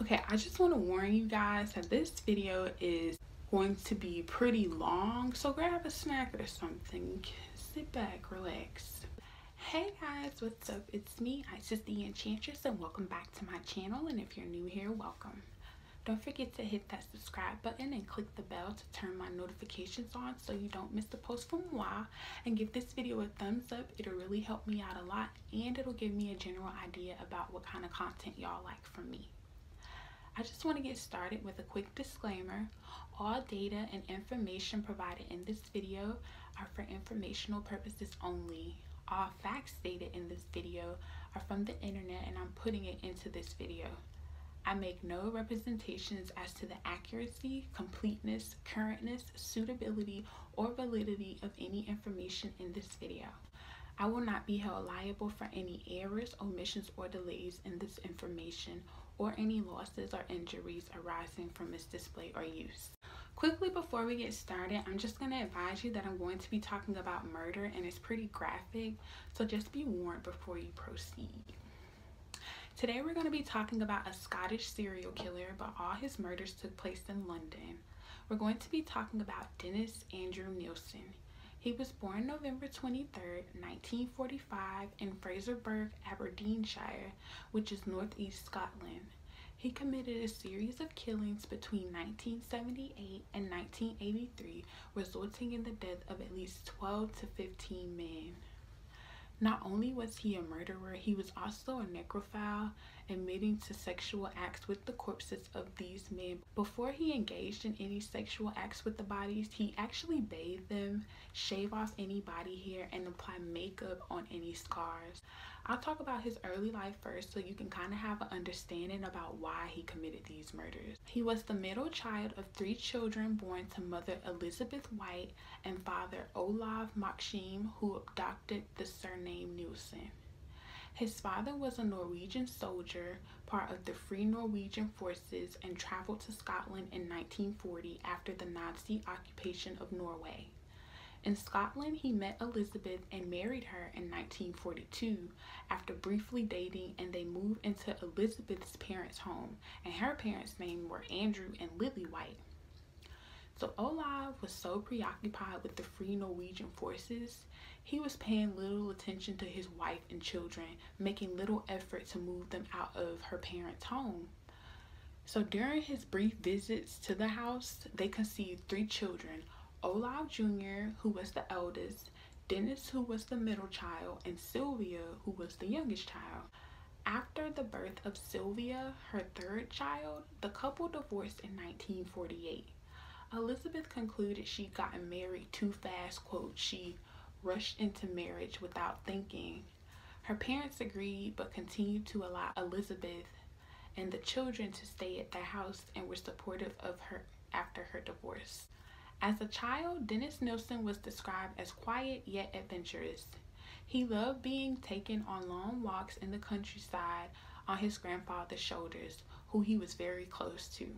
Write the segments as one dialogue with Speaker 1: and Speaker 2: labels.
Speaker 1: Okay, I just want to warn you guys that this video is going to be pretty long, so grab a snack or something. Sit back, relax. Hey guys, what's up? It's me, just the Enchantress, and welcome back to my channel. And if you're new here, welcome. Don't forget to hit that subscribe button and click the bell to turn my notifications on so you don't miss a post from a while. And give this video a thumbs up. It'll really help me out a lot and it'll give me a general idea about what kind of content y'all like from me. I just want to get started with a quick disclaimer. All data and information provided in this video are for informational purposes only. All facts stated in this video are from the internet and I'm putting it into this video. I make no representations as to the accuracy, completeness, currentness, suitability, or validity of any information in this video. I will not be held liable for any errors, omissions, or delays in this information or any losses or injuries arising from its display or use. Quickly before we get started, I'm just going to advise you that I'm going to be talking about murder and it's pretty graphic, so just be warned before you proceed. Today we're going to be talking about a Scottish serial killer, but all his murders took place in London. We're going to be talking about Dennis Andrew Nielsen. He was born November 23, 1945 in Fraserburgh, Aberdeenshire, which is northeast Scotland. He committed a series of killings between 1978 and 1983, resulting in the death of at least 12 to 15 men. Not only was he a murderer, he was also a necromancer necrophile, admitting to sexual acts with the corpses of these men. Before he engaged in any sexual acts with the bodies, he actually bathed them, shave off any body hair, and apply makeup on any scars. I'll talk about his early life first so you can kind of have an understanding about why he committed these murders. He was the middle child of three children born to mother Elizabeth White and father Olaf Maxim who abducted the surname Nielsen. His father was a Norwegian soldier, part of the Free Norwegian Forces, and traveled to Scotland in 1940 after the Nazi occupation of Norway. In Scotland, he met Elizabeth and married her in 1942 after briefly dating, and they moved into Elizabeth's parents' home, and her parents' name were Andrew and Lily White. So Olaf was so preoccupied with the free Norwegian forces, he was paying little attention to his wife and children, making little effort to move them out of her parents' home. So during his brief visits to the house, they conceived three children, Olaf Jr., who was the eldest, Dennis, who was the middle child, and Sylvia, who was the youngest child. After the birth of Sylvia, her third child, the couple divorced in 1948. Elizabeth concluded she'd gotten married too fast, quote, she rushed into marriage without thinking. Her parents agreed but continued to allow Elizabeth and the children to stay at the house and were supportive of her after her divorce. As a child, Dennis Nilsson was described as quiet yet adventurous. He loved being taken on long walks in the countryside on his grandfather's shoulders, who he was very close to.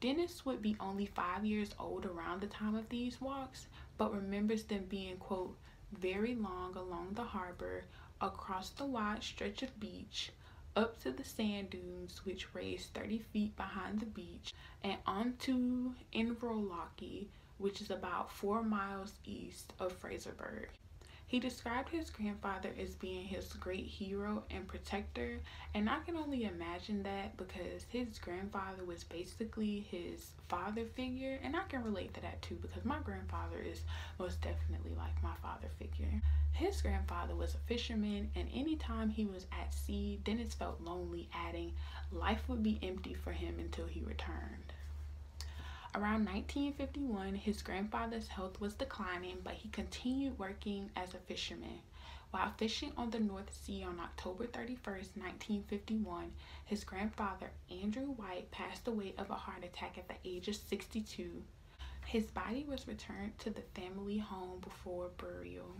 Speaker 1: Dennis would be only five years old around the time of these walks, but remembers them being, quote, very long along the harbor, across the wide stretch of beach, up to the sand dunes, which raised 30 feet behind the beach, and on to Inverlochie, which is about four miles east of Fraserburg. He described his grandfather as being his great hero and protector, and I can only imagine that because his grandfather was basically his father figure, and I can relate to that too because my grandfather is most definitely like my father figure. His grandfather was a fisherman, and anytime he was at sea, Dennis felt lonely, adding, Life would be empty for him until he returned. Around 1951, his grandfather's health was declining, but he continued working as a fisherman. While fishing on the North Sea on October 31, 1951, his grandfather, Andrew White, passed away of a heart attack at the age of 62. His body was returned to the family home before burial.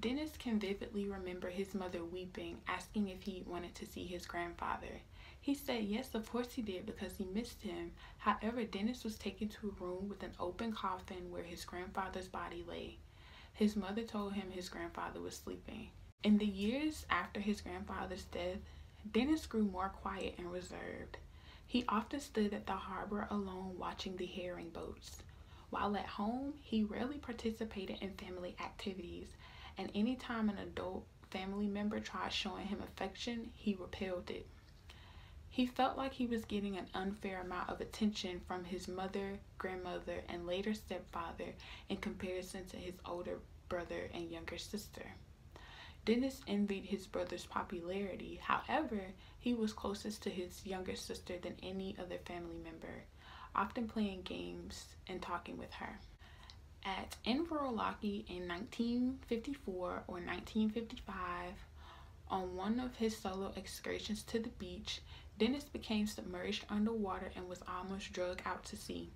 Speaker 1: Dennis can vividly remember his mother weeping, asking if he wanted to see his grandfather. He said yes, of course he did, because he missed him. However, Dennis was taken to a room with an open coffin where his grandfather's body lay. His mother told him his grandfather was sleeping. In the years after his grandfather's death, Dennis grew more quiet and reserved. He often stood at the harbor alone watching the herring boats. While at home, he rarely participated in family activities, and any time an adult family member tried showing him affection, he repelled it. He felt like he was getting an unfair amount of attention from his mother, grandmother, and later stepfather in comparison to his older brother and younger sister. Dennis envied his brother's popularity. However, he was closest to his younger sister than any other family member often playing games and talking with her. At Inverlochie in 1954 or 1955, on one of his solo excursions to the beach, Dennis became submerged underwater and was almost dragged out to sea.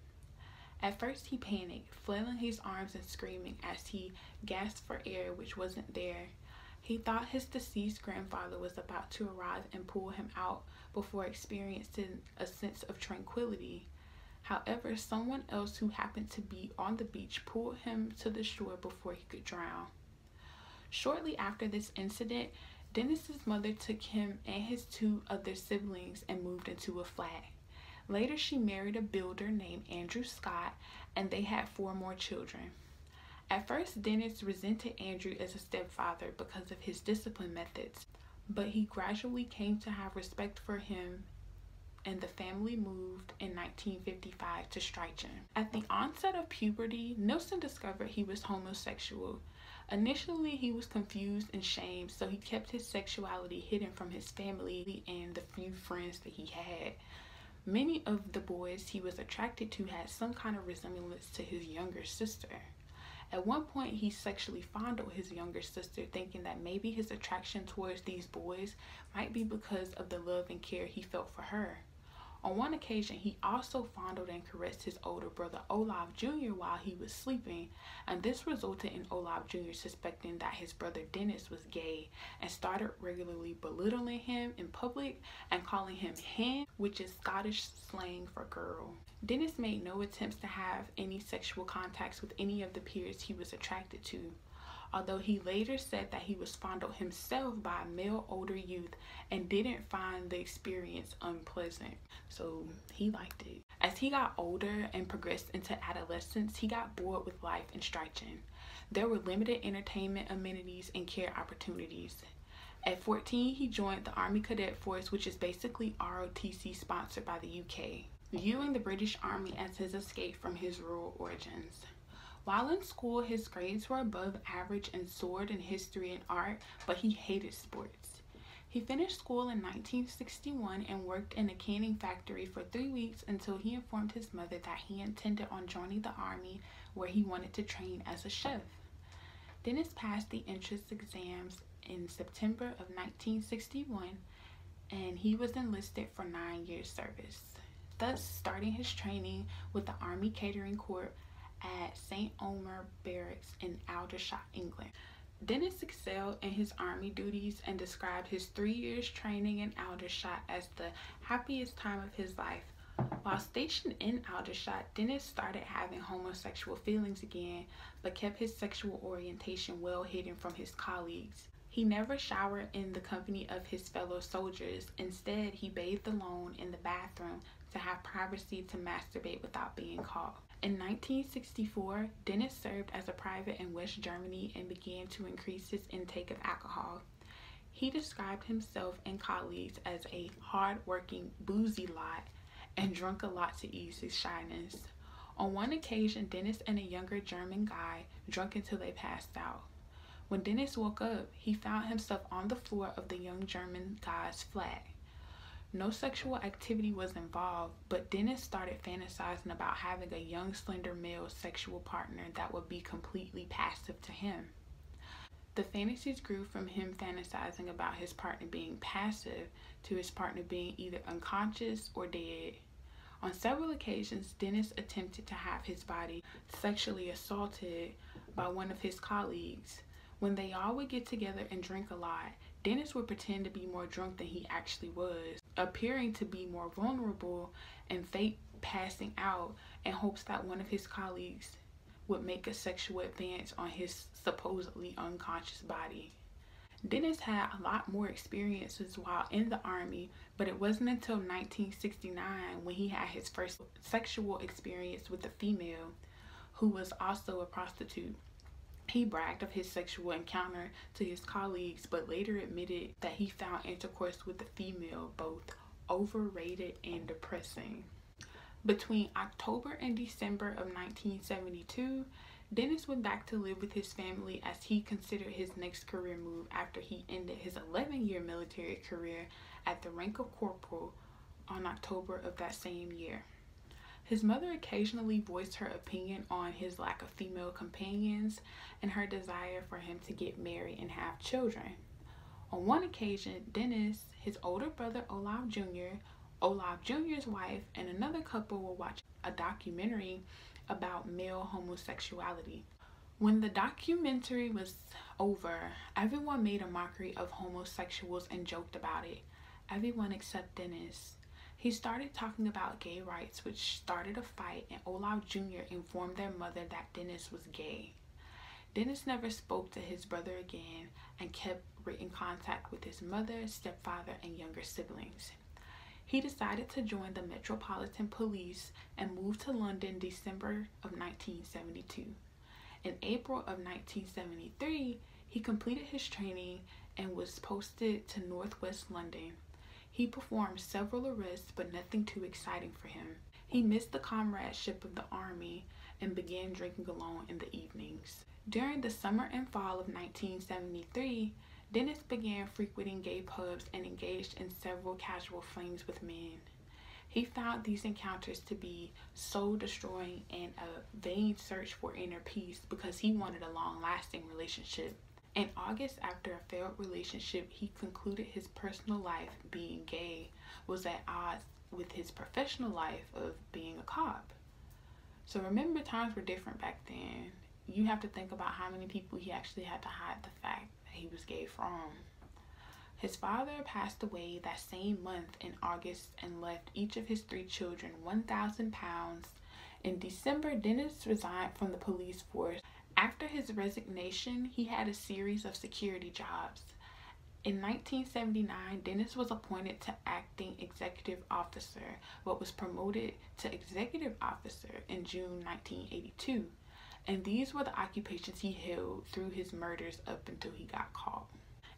Speaker 1: At first, he panicked, flailing his arms and screaming as he gasped for air, which wasn't there. He thought his deceased grandfather was about to arrive and pull him out before experiencing a sense of tranquility. However, someone else who happened to be on the beach pulled him to the shore before he could drown. Shortly after this incident, Dennis's mother took him and his two other siblings and moved into a flat. Later, she married a builder named Andrew Scott, and they had four more children. At first, Dennis resented Andrew as a stepfather because of his discipline methods, but he gradually came to have respect for him and the family moved in 1955 to Strachan. At the onset of puberty, Nilsson discovered he was homosexual. Initially, he was confused and shamed, so he kept his sexuality hidden from his family and the few friends that he had. Many of the boys he was attracted to had some kind of resemblance to his younger sister. At one point, he sexually fondled his younger sister, thinking that maybe his attraction towards these boys might be because of the love and care he felt for her. On one occasion, he also fondled and caressed his older brother Olaf Jr. while he was sleeping, and this resulted in Olaf Jr. suspecting that his brother Dennis was gay and started regularly belittling him in public and calling him "him," which is Scottish slang for girl. Dennis made no attempts to have any sexual contacts with any of the peers he was attracted to, although he later said that he was fondled himself by male older youth and didn't find the experience unpleasant. So he liked it. As he got older and progressed into adolescence, he got bored with life in Strachan. There were limited entertainment amenities and care opportunities. At 14, he joined the Army Cadet Force, which is basically ROTC sponsored by the UK, viewing the British Army as his escape from his rural origins. While in school, his grades were above average in sword and history and art, but he hated sports. He finished school in 1961 and worked in a canning factory for three weeks until he informed his mother that he intended on joining the army where he wanted to train as a chef. Dennis passed the entrance exams in September of 1961 and he was enlisted for nine years service, thus starting his training with the Army Catering Corps at St. Omer Barracks in Aldershot, England. Dennis excelled in his army duties and described his three years training in Aldershot as the happiest time of his life. While stationed in Aldershot, Dennis started having homosexual feelings again, but kept his sexual orientation well hidden from his colleagues. He never showered in the company of his fellow soldiers. Instead, he bathed alone in the bathroom to have privacy to masturbate without being called. In 1964, Dennis served as a private in West Germany and began to increase his intake of alcohol. He described himself and colleagues as a hard-working, boozy lot and drunk a lot to ease his shyness. On one occasion, Dennis and a younger German guy drunk until they passed out. When Dennis woke up, he found himself on the floor of the young German guy's flat. No sexual activity was involved, but Dennis started fantasizing about having a young, slender male sexual partner that would be completely passive to him. The fantasies grew from him fantasizing about his partner being passive to his partner being either unconscious or dead. On several occasions, Dennis attempted to have his body sexually assaulted by one of his colleagues. When they all would get together and drink a lot, Dennis would pretend to be more drunk than he actually was, appearing to be more vulnerable and fake passing out in hopes that one of his colleagues would make a sexual advance on his supposedly unconscious body. Dennis had a lot more experiences while in the army, but it wasn't until 1969 when he had his first sexual experience with a female who was also a prostitute. He bragged of his sexual encounter to his colleagues, but later admitted that he found intercourse with the female both overrated and depressing. Between October and December of 1972, Dennis went back to live with his family as he considered his next career move after he ended his 11 year military career at the rank of corporal on October of that same year. His mother occasionally voiced her opinion on his lack of female companions and her desire for him to get married and have children. On one occasion, Dennis his older brother Olaf Jr., Olaf Jr.'s wife, and another couple will watch a documentary about male homosexuality. When the documentary was over, everyone made a mockery of homosexuals and joked about it. Everyone except Dennis. He started talking about gay rights, which started a fight, and Olaf Jr. informed their mother that Dennis was gay. Dennis never spoke to his brother again and kept written contact with his mother, stepfather, and younger siblings. He decided to join the Metropolitan Police and moved to London December of 1972. In April of 1973, he completed his training and was posted to Northwest London. He performed several arrests, but nothing too exciting for him. He missed the comradeship of the Army and began drinking alone in the evenings. During the summer and fall of 1973, Dennis began frequenting gay pubs and engaged in several casual flings with men. He found these encounters to be soul destroying and a vain search for inner peace because he wanted a long lasting relationship. In August, after a failed relationship, he concluded his personal life being gay was at odds with his professional life of being a cop. So remember, times were different back then. You have to think about how many people he actually had to hide the fact that he was gay from. His father passed away that same month in August and left each of his three children 1,000 pounds. In December, Dennis resigned from the police force. After his resignation, he had a series of security jobs. In 1979, Dennis was appointed to acting executive officer, but was promoted to executive officer in June 1982. And these were the occupations he held through his murders up until he got caught.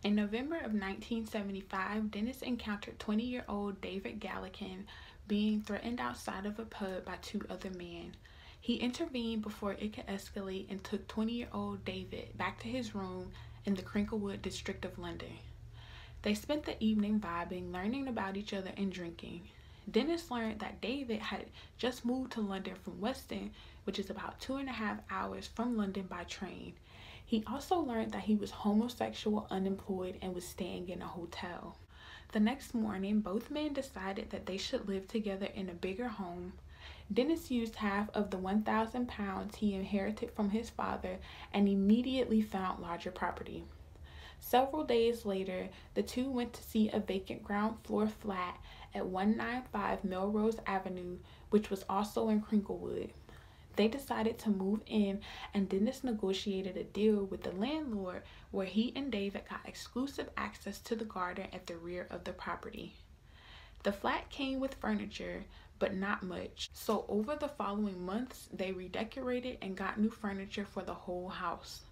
Speaker 1: In November of 1975, Dennis encountered 20 year old David Gallican being threatened outside of a pub by two other men. He intervened before it could escalate and took 20 year old David back to his room in the Crinklewood district of London. They spent the evening vibing, learning about each other, and drinking. Dennis learned that David had just moved to London from Weston, which is about two and a half hours from London by train. He also learned that he was homosexual, unemployed, and was staying in a hotel. The next morning, both men decided that they should live together in a bigger home Dennis used half of the 1,000 pounds he inherited from his father and immediately found larger property. Several days later, the two went to see a vacant ground floor flat at 195 Melrose Avenue, which was also in Crinklewood. They decided to move in, and Dennis negotiated a deal with the landlord where he and David got exclusive access to the garden at the rear of the property. The flat came with furniture, but not much. So over the following months, they redecorated and got new furniture for the whole house.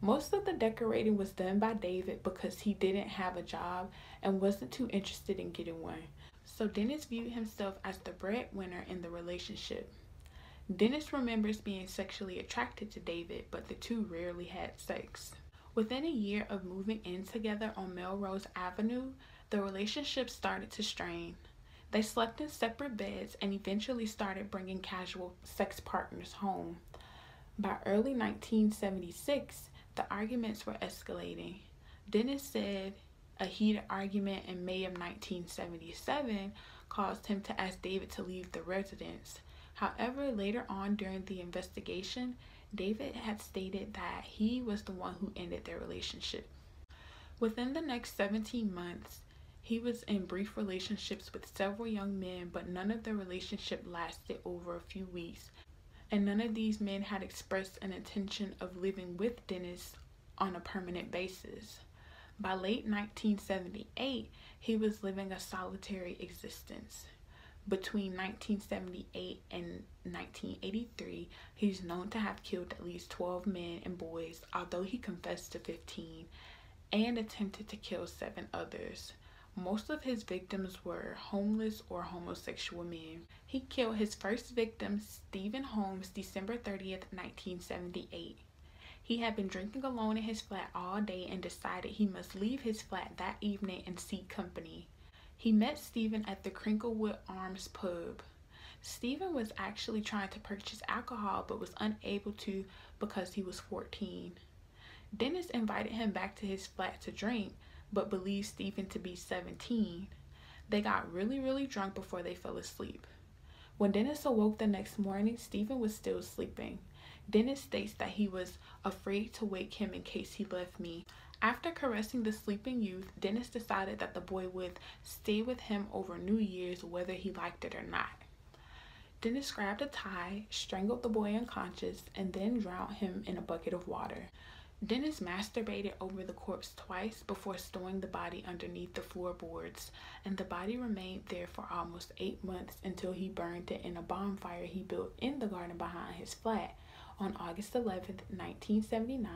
Speaker 1: Most of the decorating was done by David because he didn't have a job and wasn't too interested in getting one. So Dennis viewed himself as the breadwinner in the relationship. Dennis remembers being sexually attracted to David, but the two rarely had sex. Within a year of moving in together on Melrose Avenue, the relationship started to strain. They slept in separate beds and eventually started bringing casual sex partners home. By early 1976, the arguments were escalating. Dennis said a heated argument in May of 1977 caused him to ask David to leave the residence. However, later on during the investigation, David had stated that he was the one who ended their relationship. Within the next 17 months, he was in brief relationships with several young men, but none of the relationship lasted over a few weeks, and none of these men had expressed an intention of living with Dennis on a permanent basis. By late 1978, he was living a solitary existence. Between 1978 in 1983. He's known to have killed at least 12 men and boys, although he confessed to 15 and attempted to kill seven others. Most of his victims were homeless or homosexual men. He killed his first victim, Stephen Holmes, December 30, 1978. He had been drinking alone in his flat all day and decided he must leave his flat that evening and seek company. He met Stephen at the Crinklewood Arms pub. Stephen was actually trying to purchase alcohol but was unable to because he was 14. Dennis invited him back to his flat to drink but believed Stephen to be 17. They got really, really drunk before they fell asleep. When Dennis awoke the next morning, Stephen was still sleeping. Dennis states that he was afraid to wake him in case he left me. After caressing the sleeping youth, Dennis decided that the boy would stay with him over New Year's whether he liked it or not. Dennis grabbed a tie, strangled the boy unconscious, and then drowned him in a bucket of water. Dennis masturbated over the corpse twice before stowing the body underneath the floorboards, and the body remained there for almost eight months until he burned it in a bonfire he built in the garden behind his flat on August 11, 1979.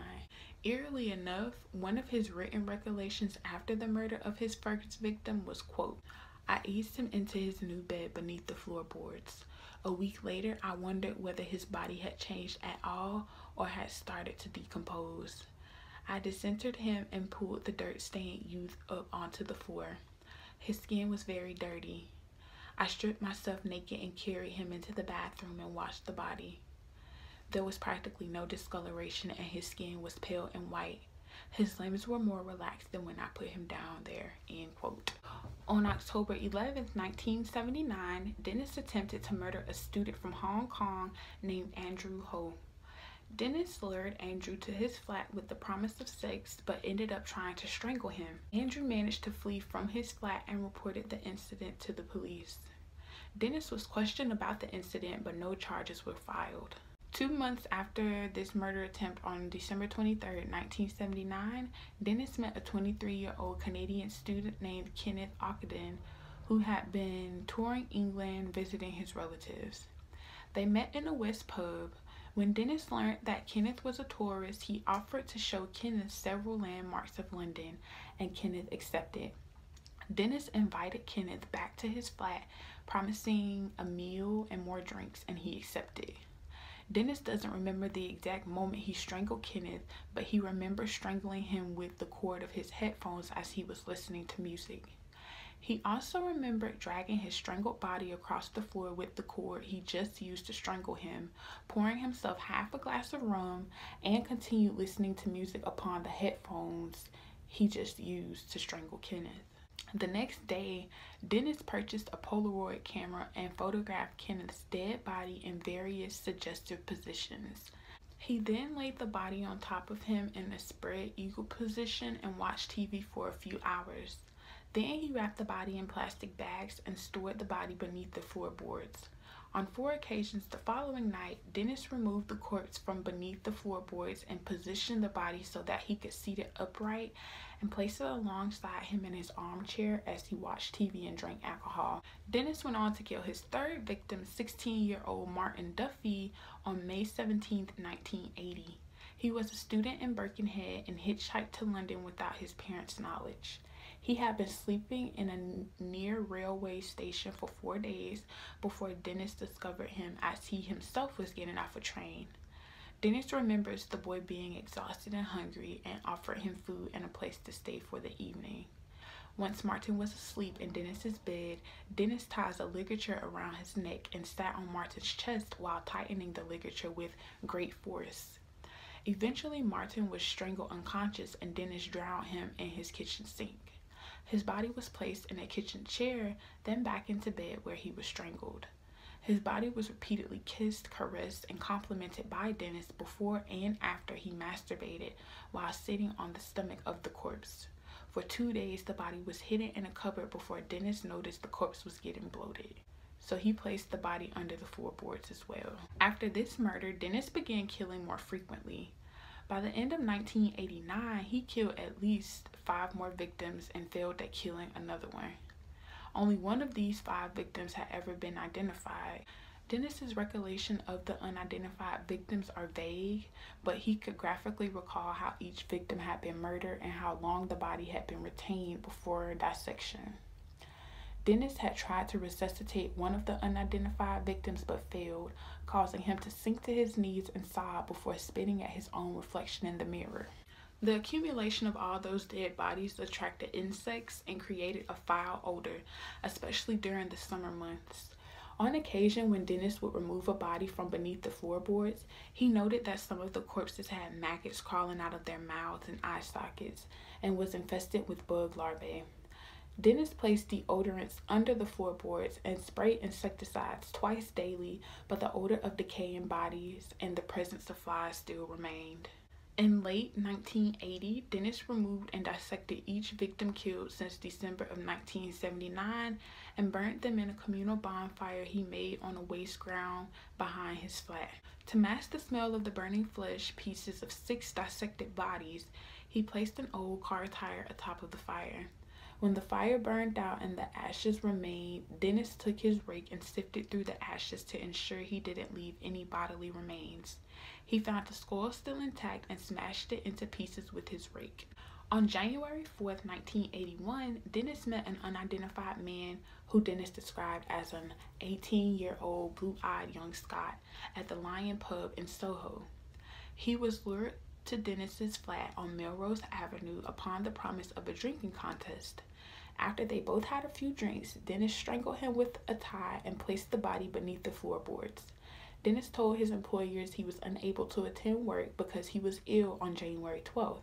Speaker 1: Eerily enough, one of his written recollections after the murder of his first victim was, quote, I eased him into his new bed beneath the floorboards. A week later, I wondered whether his body had changed at all or had started to decompose. I disinterred him and pulled the dirt-stained youth up onto the floor. His skin was very dirty. I stripped myself naked and carried him into the bathroom and washed the body. There was practically no discoloration and his skin was pale and white. His limbs were more relaxed than when I put him down there, end On October 11, 1979, Dennis attempted to murder a student from Hong Kong named Andrew Ho. Dennis lured Andrew to his flat with the promise of sex but ended up trying to strangle him. Andrew managed to flee from his flat and reported the incident to the police. Dennis was questioned about the incident but no charges were filed. Two months after this murder attempt on December 23, 1979, Dennis met a 23-year-old Canadian student named Kenneth Ockaden who had been touring England visiting his relatives. They met in a West pub when Dennis learned that Kenneth was a tourist, he offered to show Kenneth several landmarks of London, and Kenneth accepted. Dennis invited Kenneth back to his flat, promising a meal and more drinks, and he accepted. Dennis doesn't remember the exact moment he strangled Kenneth, but he remembers strangling him with the cord of his headphones as he was listening to music. He also remembered dragging his strangled body across the floor with the cord he just used to strangle him, pouring himself half a glass of rum, and continued listening to music upon the headphones he just used to strangle Kenneth. The next day, Dennis purchased a Polaroid camera and photographed Kenneth's dead body in various suggestive positions. He then laid the body on top of him in a spread eagle position and watched TV for a few hours. Then he wrapped the body in plastic bags and stored the body beneath the floorboards. On four occasions the following night, Dennis removed the corpse from beneath the floorboards and positioned the body so that he could seat it upright and placed it alongside him in his armchair as he watched TV and drank alcohol. Dennis went on to kill his third victim, 16 year old Martin Duffy, on May 17, 1980. He was a student in Birkenhead and hitchhiked to London without his parents' knowledge. He had been sleeping in a near railway station for four days before Dennis discovered him as he himself was getting off a train. Dennis remembers the boy being exhausted and hungry and offered him food and a place to stay for the evening. Once Martin was asleep in Dennis's bed, Dennis ties a ligature around his neck and sat on Martin's chest while tightening the ligature with great force. Eventually, Martin was strangled unconscious and Dennis drowned him in his kitchen sink. His body was placed in a kitchen chair, then back into bed where he was strangled. His body was repeatedly kissed, caressed, and complimented by Dennis before and after he masturbated while sitting on the stomach of the corpse. For two days, the body was hidden in a cupboard before Dennis noticed the corpse was getting bloated so he placed the body under the floorboards as well. After this murder, Dennis began killing more frequently. By the end of 1989, he killed at least five more victims and failed at killing another one. Only one of these five victims had ever been identified. Dennis's recollection of the unidentified victims are vague, but he could graphically recall how each victim had been murdered and how long the body had been before dissection. Dennis had tried to resuscitate one of the unidentified victims but failed, causing him to sink to his knees and sob before spitting at his own reflection in the mirror. The accumulation of all those dead bodies attracted insects and created a foul odor, especially during the summer months. On occasion, when Dennis would remove a body from beneath the floorboards, he noted that some of the corpses had maggots crawling out of their mouths and eye sockets and was infested with bug larvae. Dennis placed deodorants under the floorboards and sprayed insecticides twice daily, but the odor of decaying bodies and the presence of flies still remained. In late 1980, Dennis removed and dissected each victim killed since December of 1979 and burnt them in a communal bonfire he made on a waste ground behind his flat. To mask the smell of the burning flesh pieces of six dissected bodies, he placed an old car tire atop of the fire. When the fire burned out and the ashes remained, Dennis took his rake and sifted through the ashes to ensure he didn't leave any bodily remains. He found the skull still intact and smashed it into pieces with his rake. On January 4th, 1981, Dennis met an unidentified man who Dennis described as an 18 year old blue eyed young Scot at the Lion Pub in Soho. He was lured to Dennis's flat on Melrose Avenue upon the promise of a drinking contest. After they both had a few drinks, Dennis strangled him with a tie and placed the body beneath the floorboards. Dennis told his employers he was unable to attend work because he was ill on January 12th.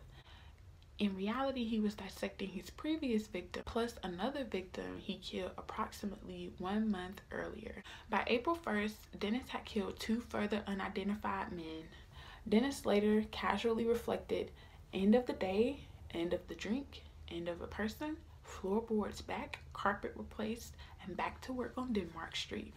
Speaker 1: In reality, he was dissecting his previous victim plus another victim he killed approximately one month earlier. By April 1st, Dennis had killed two further unidentified men. Dennis later casually reflected end of the day, end of the drink, end of a person, floorboards back, carpet replaced, and back to work on Denmark Street.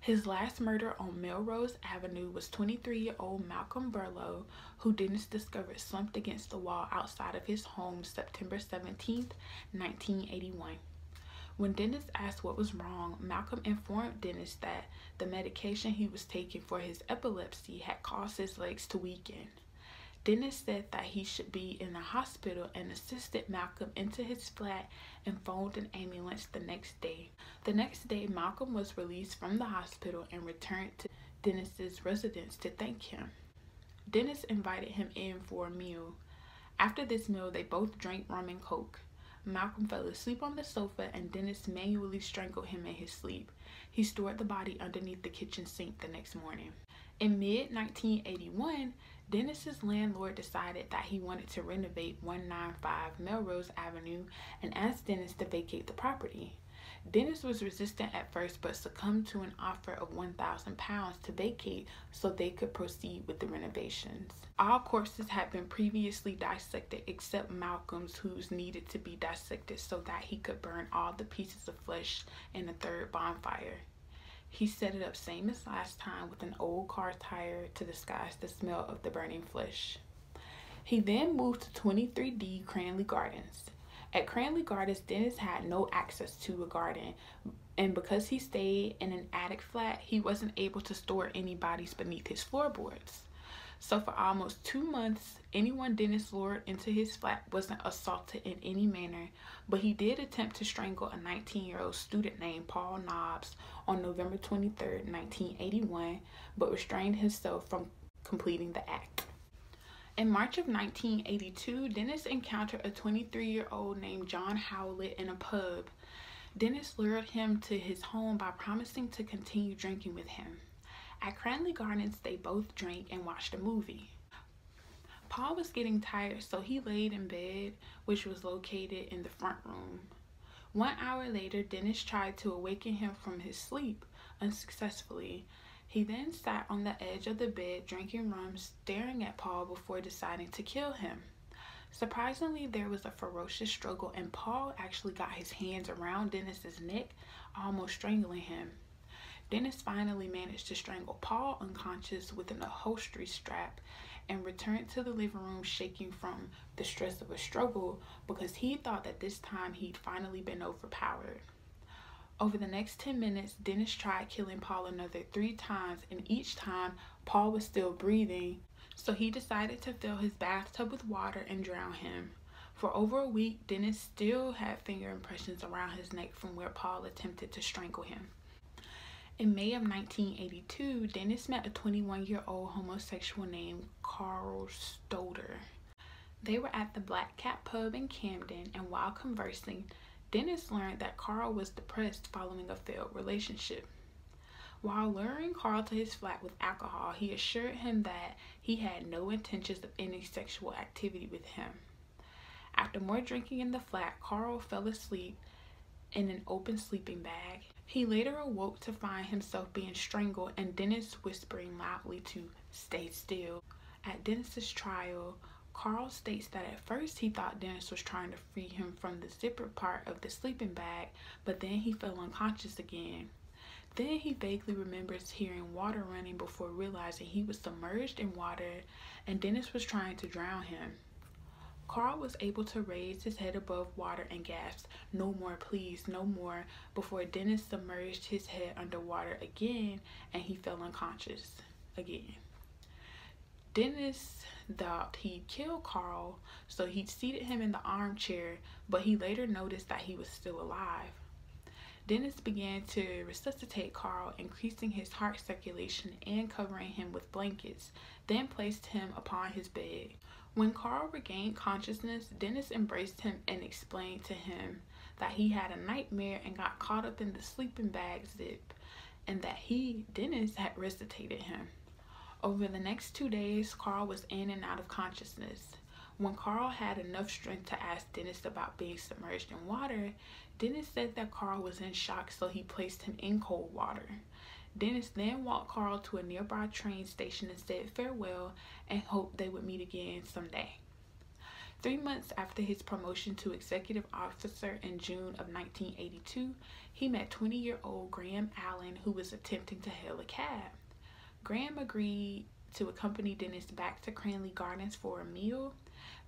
Speaker 1: His last murder on Melrose Avenue was 23 year old Malcolm Burlow, who Dennis discovered slumped against the wall outside of his home September 17, 1981. When Dennis asked what was wrong, Malcolm informed Dennis that the medication he was taking for his epilepsy had caused his legs to weaken. Dennis said that he should be in the hospital and assisted Malcolm into his flat and phoned an ambulance the next day. The next day, Malcolm was released from the hospital and returned to Dennis's residence to thank him. Dennis invited him in for a meal. After this meal, they both drank rum and coke. Malcolm fell asleep on the sofa and Dennis manually strangled him in his sleep. He stored the body underneath the kitchen sink the next morning. In mid 1981, Dennis's landlord decided that he wanted to renovate 195 Melrose Avenue and asked Dennis to vacate the property. Dennis was resistant at first but succumbed to an offer of 1,000 pounds to vacate so they could proceed with the renovations. All corpses had been previously dissected except Malcolm's, who's needed to be dissected so that he could burn all the pieces of flesh in a third bonfire. He set it up same as last time with an old car tire to disguise the smell of the burning flesh. He then moved to 23D Cranley Gardens. At Cranley Gardens, Dennis had no access to a garden, and because he stayed in an attic flat, he wasn't able to store any bodies beneath his floorboards. So, for almost two months, anyone Dennis lured into his flat wasn't assaulted in any manner, but he did attempt to strangle a 19 year old student named Paul Knob on November 23, 1981, but restrained himself from completing the act. In March of 1982, Dennis encountered a 23-year-old named John Howlett in a pub. Dennis lured him to his home by promising to continue drinking with him. At Cranley Gardens, they both drank and watched a movie. Paul was getting tired, so he laid in bed, which was located in the front room. One hour later, Dennis tried to awaken him from his sleep unsuccessfully. He then sat on the edge of the bed, drinking rum, staring at Paul before deciding to kill him. Surprisingly, there was a ferocious struggle, and Paul actually got his hands around Dennis's neck, almost strangling him. Dennis finally managed to strangle Paul unconscious with an upholstery strap and returned to the living room shaking from the stress of a struggle because he thought that this time he'd finally been overpowered. Over the next 10 minutes, Dennis tried killing Paul another three times, and each time Paul was still breathing, so he decided to fill his bathtub with water and drown him. For over a week, Dennis still had finger impressions around his neck from where Paul attempted to strangle him. In May of 1982, Dennis met a 21 year old homosexual named Carl Stoder. They were at the Black Cat Pub in Camden, and while conversing, Dennis learned that Carl was depressed following a failed relationship. While luring Carl to his flat with alcohol, he assured him that he had no intentions of any sexual activity with him. After more drinking in the flat, Carl fell asleep in an open sleeping bag he later awoke to find himself being strangled and Dennis whispering loudly to stay still. At Dennis's trial, Carl states that at first he thought Dennis was trying to free him from the zipper part of the sleeping bag, but then he fell unconscious again. Then he vaguely remembers hearing water running before realizing he was submerged in water and Dennis was trying to drown him. Carl was able to raise his head above water and gasped, No more, please, no more, before Dennis submerged his head underwater again and he fell unconscious again. Dennis thought he'd killed Carl, so he seated him in the armchair, but he later noticed that he was still alive. Dennis began to resuscitate Carl, increasing his heart circulation and covering him with blankets, then placed him upon his bed. When Carl regained consciousness, Dennis embraced him and explained to him that he had a nightmare and got caught up in the sleeping bag zip and that he, Dennis, had resuscitated him. Over the next two days, Carl was in and out of consciousness. When Carl had enough strength to ask Dennis about being submerged in water, Dennis said that Carl was in shock, so he placed him in cold water. Dennis then walked Carl to a nearby train station and said farewell and hoped they would meet again someday. Three months after his promotion to executive officer in June of 1982, he met 20 year old Graham Allen, who was attempting to hail a cab. Graham agreed to accompany Dennis back to Cranley Gardens for a meal.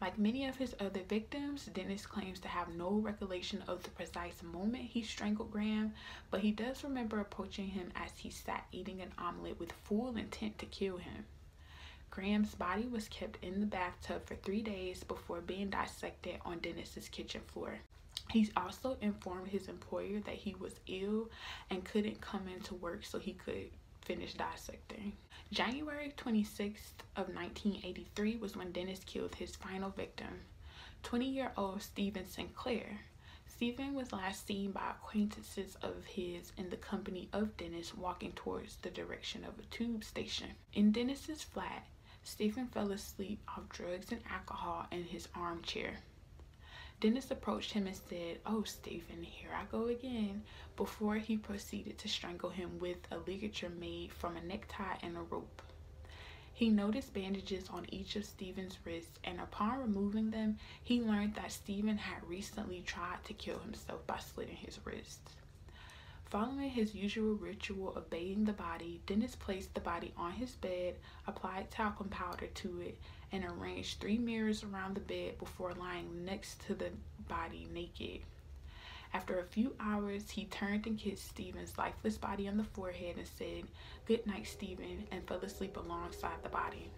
Speaker 1: Like many of his other victims, Dennis claims to have no recollection of the precise moment he strangled Graham, but he does remember approaching him as he sat eating an omelet with full intent to kill him. Graham's body was kept in the bathtub for three days before being dissected on Dennis's kitchen floor. He also informed his employer that he was ill and couldn't come into work so he could finish dissecting. January 26th of 1983 was when Dennis killed his final victim. 20 year old Stephen Sinclair. Stephen was last seen by acquaintances of his in the company of Dennis walking towards the direction of a tube station. In Dennis's flat, Stephen fell asleep off drugs and alcohol in his armchair. Dennis approached him and said, Oh, Stephen, here I go again, before he proceeded to strangle him with a ligature made from a necktie and a rope. He noticed bandages on each of Stephen's wrists, and upon removing them, he learned that Stephen had recently tried to kill himself by slitting his wrists. Following his usual ritual of bathing the body, Dennis placed the body on his bed, applied talcum powder to it, and arranged three mirrors around the bed before lying next to the body naked. After a few hours, he turned and kissed Stephen's lifeless body on the forehead and said, Good night, Stephen, and fell asleep alongside the body.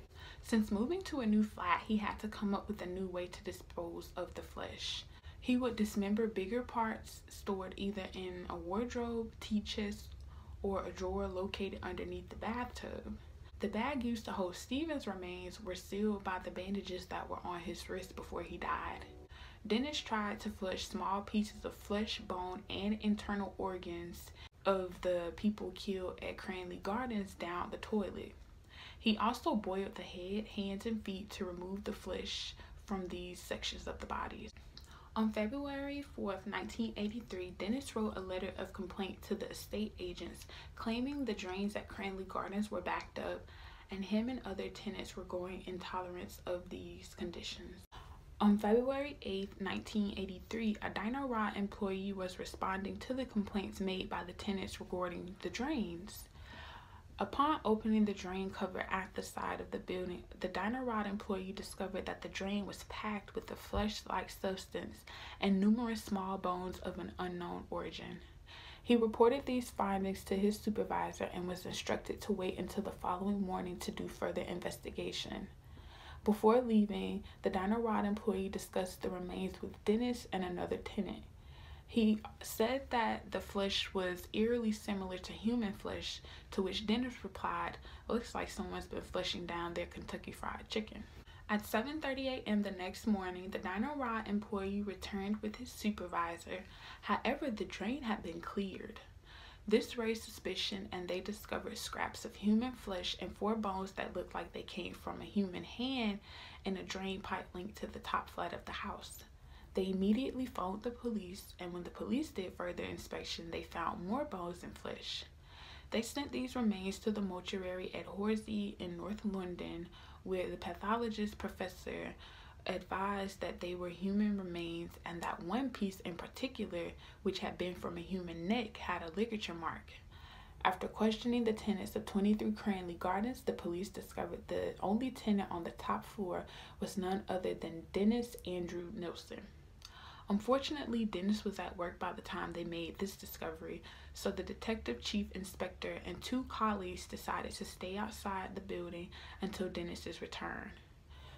Speaker 1: Since moving to a new flat, he had to come up with a new way to dispose of the flesh. He would dismember bigger parts stored either in a wardrobe, tea chest, or a drawer located underneath the bathtub. The bag used to hold Stephen's remains were sealed by the bandages that were on his wrist before he died. Dennis tried to flush small pieces of flesh, bone, and internal organs of the people killed at Cranley Gardens down the toilet. He also boiled the head, hands, and feet to remove the flesh from these sections of the bodies. On February 4, 1983, Dennis wrote a letter of complaint to the estate agents claiming the drains at Cranley Gardens were backed up and him and other tenants were growing intolerance of these conditions. On February eighth, nineteen 1983, a Diner Rod employee was responding to the complaints made by the tenants regarding the drains. Upon opening the drain cover at the side of the building, the Diner Rod employee discovered that the drain was packed with a flesh-like substance and numerous small bones of an unknown origin. He reported these Findings to his supervisor and was instructed to wait until the following morning to do further investigation. Before leaving, the diner rod employee discussed the remains with Dennis and another tenant. He said that the flesh was eerily similar to human flesh, to which Dennis replied, Looks like someone's been flushing down their Kentucky fried chicken. At 7:30 a.m. the next morning, the Dino Rod employee returned with his supervisor However, the drain had been cleared. This raised suspicion, and they discovered scraps of human flesh and four bones that looked like they came from a human hand in a drain pipe linked to the top flat of the house. They immediately phoned the police, and when the police did further inspection, they found more bones and flesh. They sent these remains to the mortuary at Horsey in North London, where the pathologist professor advised that they were human remains and that one piece in particular, which had been from a human neck, had a ligature mark. After questioning the tenants of 23 Cranley Gardens, the police discovered the only tenant on the top floor was none other than Dennis Andrew Nilsson. Unfortunately, Dennis was at work by the time they made this discovery, so the detective chief inspector and two colleagues decided to stay outside the building until Dennis's return.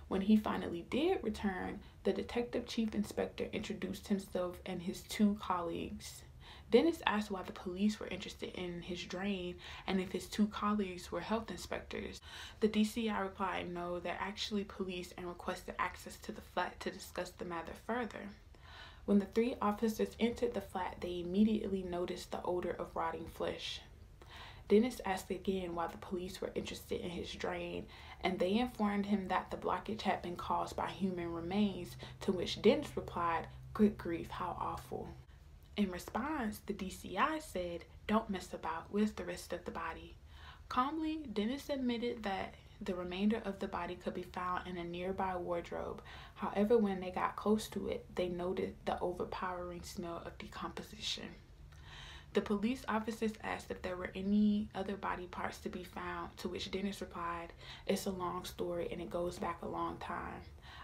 Speaker 1: When he finally did return, the detective chief inspector introduced himself and his two colleagues. Dennis asked why the police were interested in his drain and if his two colleagues were health inspectors. The DCI replied no, they're actually police and requested access to the flat to discuss the matter further. When the three officers entered the flat, they immediately noticed the odor of rotting flesh. Dennis asked again why the police were interested in his drain, and they informed him that the blockage had been caused by human remains, to which Dennis replied, Good grief, how awful. In response, the DCI said, Don't mess about with the rest of the body. Calmly, Dennis admitted that the remainder of the body could be found in a nearby wardrobe. However, when they got close to it, they noted the overpowering smell of decomposition. The police officers asked if there were any other body parts to be found, to which Dennis replied, It's a long story and it goes back a long time.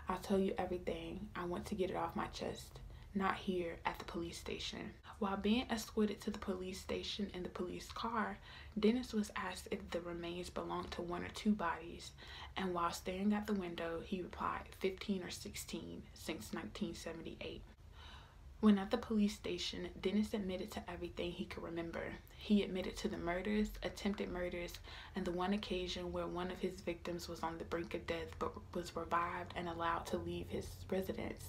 Speaker 1: I'll tell you everything. I want to get it off my chest. Not here at the police station. While being escorted to the police station in the police car, Dennis was asked if the remains belonged to one or two bodies and while standing at the window, he replied, 15 or 16 since 1978. When at the police station, Dennis admitted to everything he could remember. He admitted to the murders, attempted murders, and the one occasion where one of his victims was on the brink of death but was revived and allowed to leave his residence.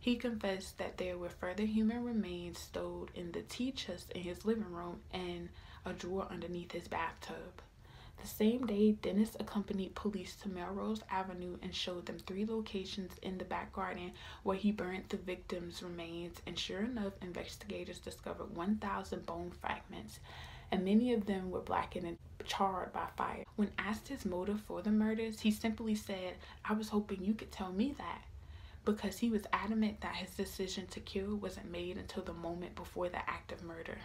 Speaker 1: He confessed that there were further human remains stowed in the tea chest in his living room and a drawer underneath his bathtub. The same day, Dennis accompanied police to Melrose Avenue and showed them three locations in the back garden where he burnt the victim's remains. And sure enough, investigators discovered 1,000 bone fragments, and many of them were blackened and charred by fire. When asked his motive for the murders, he simply said, I was hoping you could tell me that. Because he was adamant that his decision to kill wasn't made until the moment before the act of murder.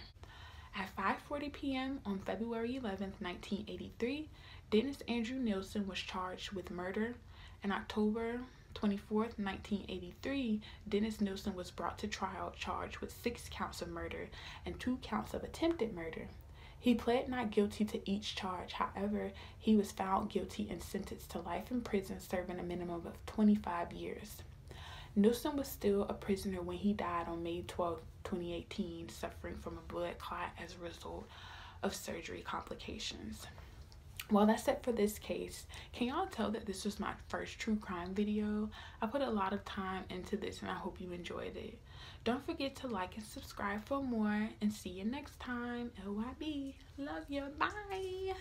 Speaker 1: At 5:40 p.m. on February 11, 1983, Dennis Andrew Nielsen was charged with murder. In October 24, 1983, Dennis Nielsen was brought to trial charged with six counts of murder and two counts of attempted murder. He pled not guilty to each charge. However, he was found guilty and sentenced to life in prison, serving a minimum of 25 years. Newsom was still a prisoner when he died on May 12, 2018, suffering from a blood clot as a result of surgery complications. Well, that's it for this case. Can y'all tell that this was my first true crime video? I put a lot of time into this and I hope you enjoyed it. Don't forget to like and subscribe for more and see you next time. LYB. Love you. Bye.